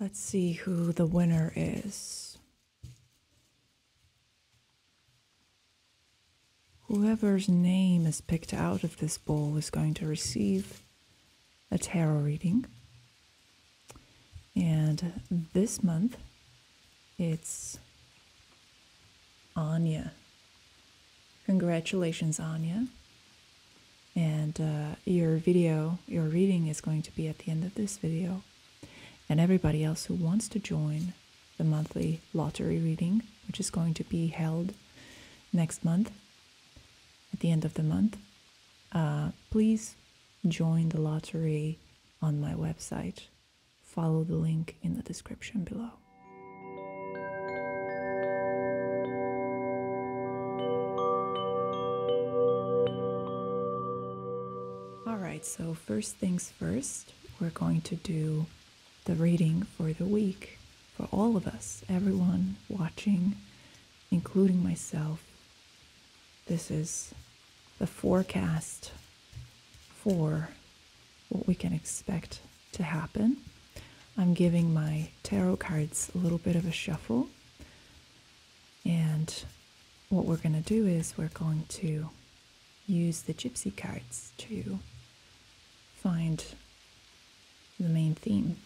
Let's see who the winner is. Whoever's name is picked out of this bowl is going to receive a tarot reading. And this month, it's Anya. Congratulations, Anya and uh, your video, your reading is going to be at the end of this video. And everybody else who wants to join the monthly lottery reading, which is going to be held next month, at the end of the month, uh, please join the lottery on my website. Follow the link in the description below. All right. so first things first, we're going to do the reading for the week for all of us, everyone watching, including myself. This is the forecast for what we can expect to happen I'm giving my tarot cards a little bit of a shuffle. And what we're going to do is we're going to use the gypsy cards to find the main theme.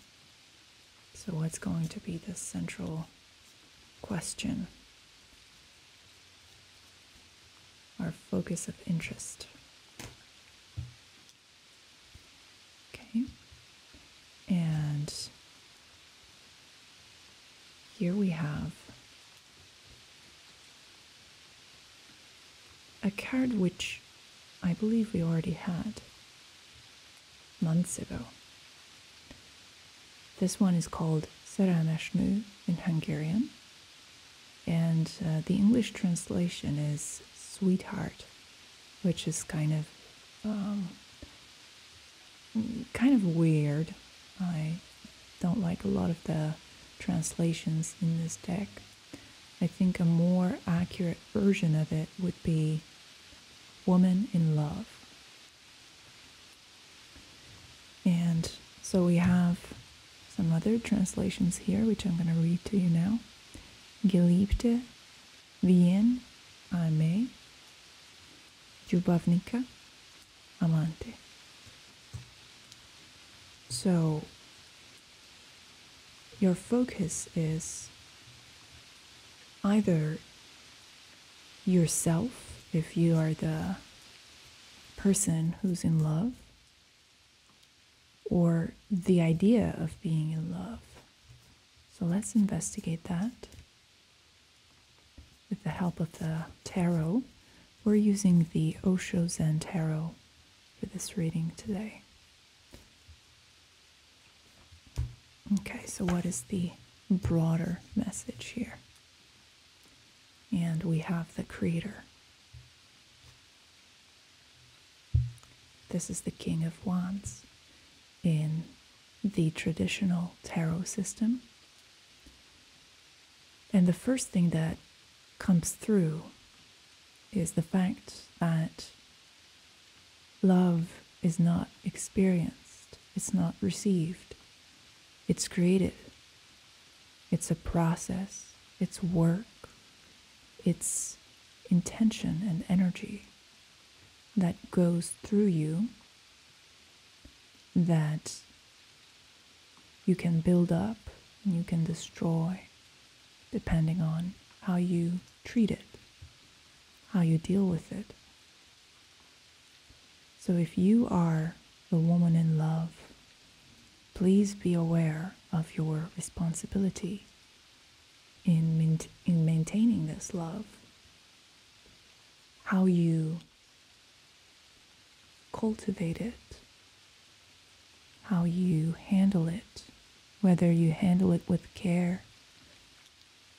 So, what's going to be the central question? Our focus of interest. Okay. And here we have a card which I believe we already had months ago. This one is called Serameshnu in Hungarian, and uh, the English translation is Sweetheart which is kind of um, kind of weird. I don't like a lot of the translations in this deck. I think a more accurate version of it would be Woman in Love. And so we have some other translations here, which I'm going to read to you now. Geliebte, Wien, Aimee, Jubavnica, Amante. So, your focus is either yourself, if you are the person who's in love, or the idea of being in love. So let's investigate that. With the help of the tarot, we're using the Osho Zen Tarot for this reading today. Okay, so what is the broader message here? And we have the Creator. This is the King of Wands in the traditional tarot system. And the first thing that comes through is the fact that love is not experienced, it's not received, it's created. It's a process, it's work, it's intention and energy that goes through you that you can build up and you can destroy depending on how you treat it, how you deal with it. So if you are the woman in love please be aware of your responsibility in, in maintaining this love. How you cultivate it, how you handle it, whether you handle it with care,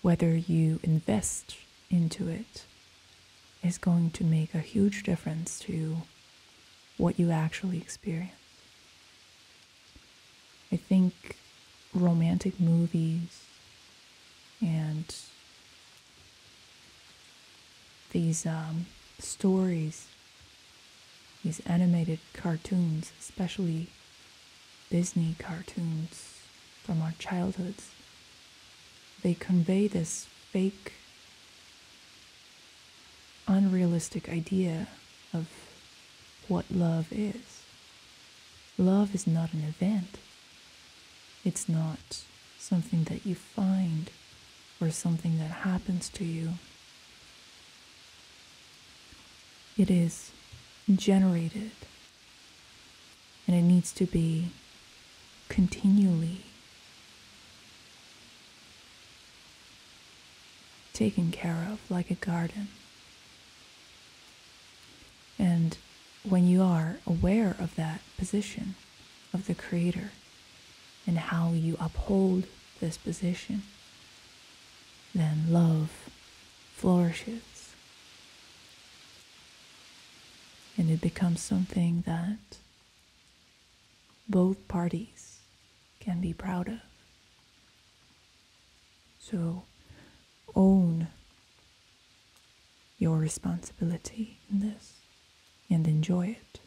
whether you invest into it, is going to make a huge difference to you what you actually experience. I think romantic movies and these um, stories, these animated cartoons, especially Disney cartoons from our childhoods, they convey this fake unrealistic idea of what love is. Love is not an event, it's not something that you find or something that happens to you. It is generated and it needs to be continually taken care of like a garden. And when you are aware of that position of the Creator and how you uphold this position, then love flourishes. And it becomes something that both parties can be proud of. So own your responsibility in this and enjoy it.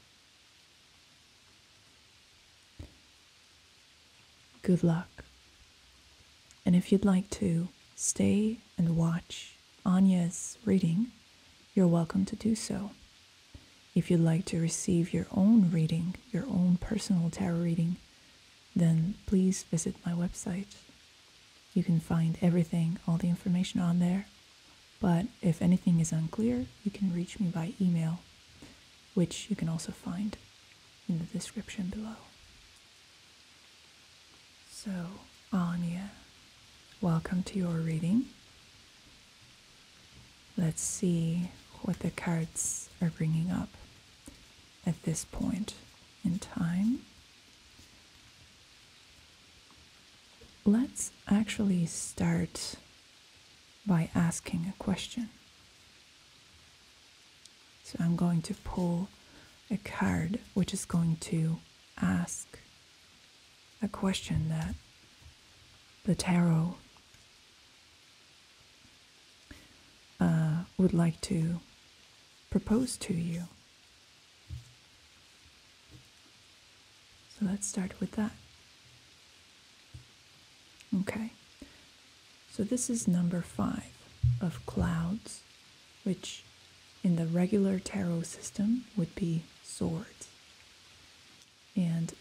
Good luck. And if you'd like to, stay and watch Anya's reading, you're welcome to do so. If you'd like to receive your own reading, your own personal tarot reading, then please visit my website. You can find everything, all the information on there. But if anything is unclear, you can reach me by email, which you can also find in the description below. So, Anya. Welcome to your reading. Let's see what the cards are bringing up at this point in time. Let's actually start by asking a question. So I'm going to pull a card which is going to ask a question that the tarot uh, would like to propose to you. So let's start with that. Okay, so this is number five of clouds which in the regular tarot system would be swords. And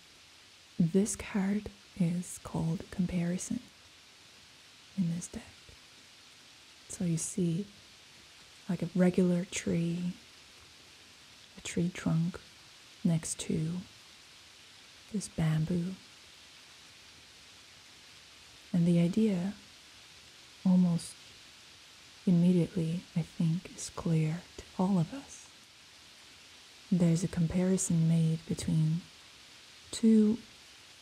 this card is called comparison in this deck. So you see like a regular tree, a tree trunk next to this bamboo. And the idea almost immediately, I think, is clear to all of us. There's a comparison made between two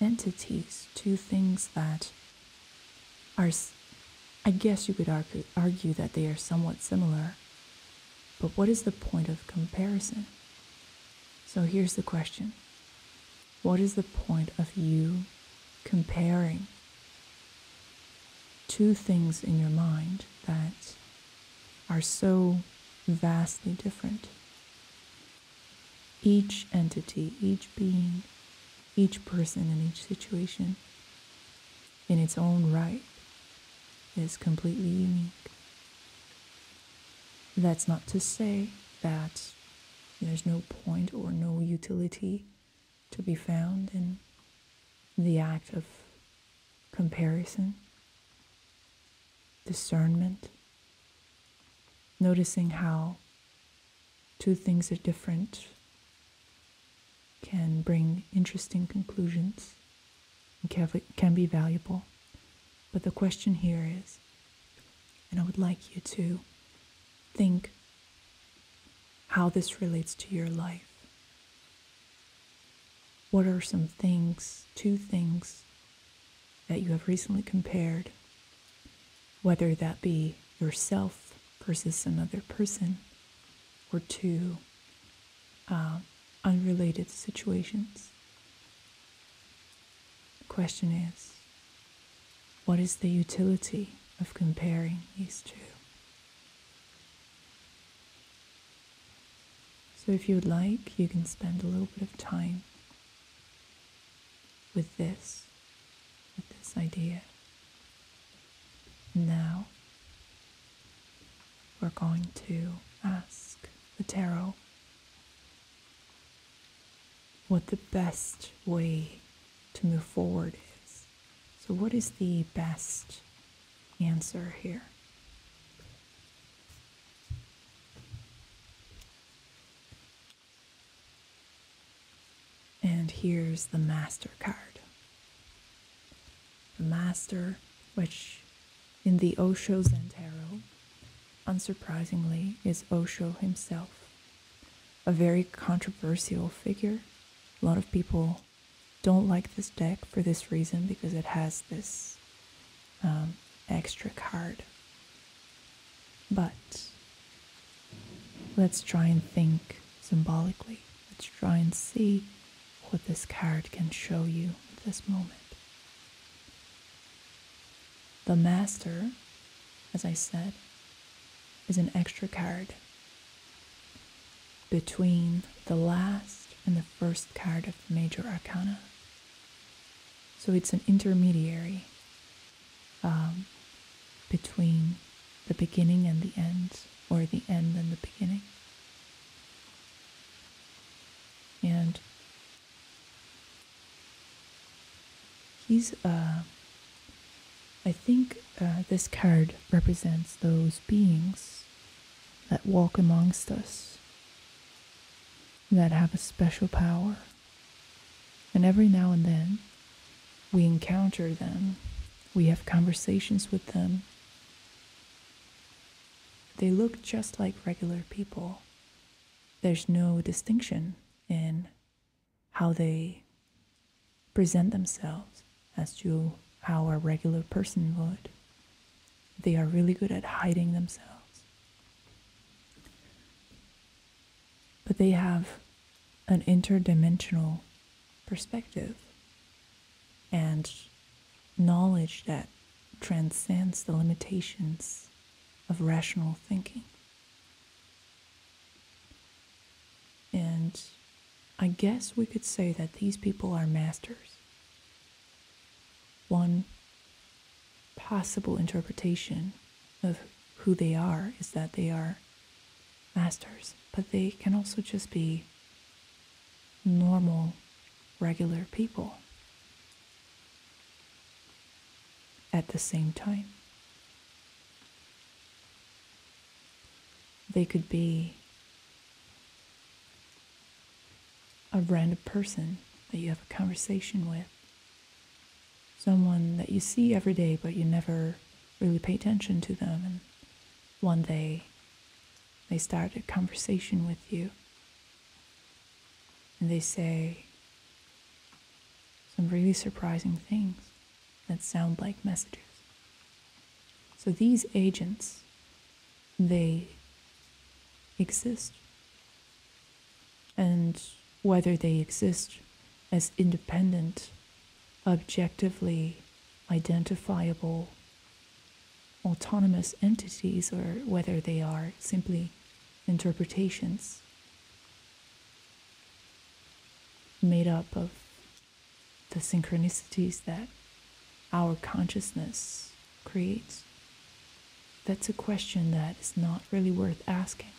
entities, two things that are, I guess you could argue, that they are somewhat similar. But what is the point of comparison? So here's the question what is the point of you comparing two things in your mind that are so vastly different? Each entity, each being, each person in each situation, in its own right, is completely unique. That's not to say that there's no point or no utility to be found in the act of comparison, discernment, noticing how two things are different can bring interesting conclusions and can be valuable. But the question here is and I would like you to think how this relates to your life. What are some things, two things, that you have recently compared, whether that be yourself versus another person or two uh, unrelated situations? The question is what is the utility of comparing these two? So, if you would like, you can spend a little bit of time with this, with this idea. Now, we're going to ask the tarot what the best way to move forward is. So, what is the best answer here? And here's the MasterCard. The Master, which in the Osho Zen unsurprisingly, is Osho himself. A very controversial figure. A lot of people don't like this deck for this reason because it has this um, extra card. But let's try and think symbolically. Let's try and see what this card can show you at this moment. The master, as I said, is an extra card. Between the last and the first card of the major arcana. So it's an intermediary um, between the beginning and the end, or the end and the beginning. And He's, uh, I think uh, this card represents those beings that walk amongst us, that have a special power. And every now and then, we encounter them, we have conversations with them. They look just like regular people, there's no distinction in how they present themselves as to how a regular person would. They are really good at hiding themselves. But they have an interdimensional perspective and knowledge that transcends the limitations of rational thinking. And I guess we could say that these people are masters. One possible interpretation of who they are is that they are masters, but they can also just be normal, regular people at the same time, they could be a random person that you have a conversation with, someone that you see every day but you never really pay attention to them, and one day they start a conversation with you and they say some really surprising things that sound like messages. So these agents, they exist. And whether they exist as independent, objectively identifiable autonomous entities or whether they are simply interpretations made up of the synchronicities that our consciousness creates? That's a question that is not really worth asking.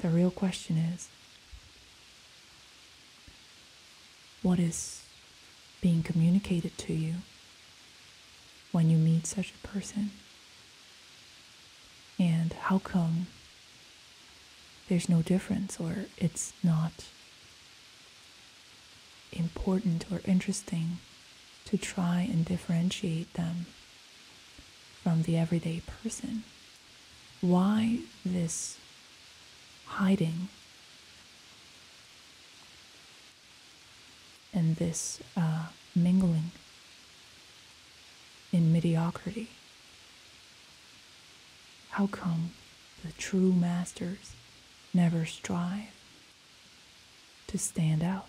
The real question is what is being communicated to you when you meet such a person? And how come there's no difference or it's not important or interesting to try and differentiate them from the everyday person? Why this hiding and this uh, mingling in mediocrity? How come the true masters never strive to stand out?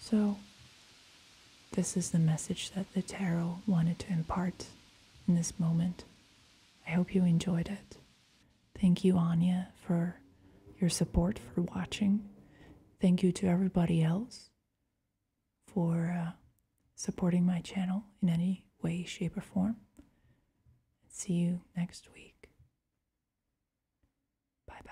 So, this is the message that the tarot wanted to impart in this moment. I hope you enjoyed it. Thank you, Anya, for your support, for watching. Thank you to everybody else for uh, supporting my channel in any way, shape, or form. See you next week. Bye bye.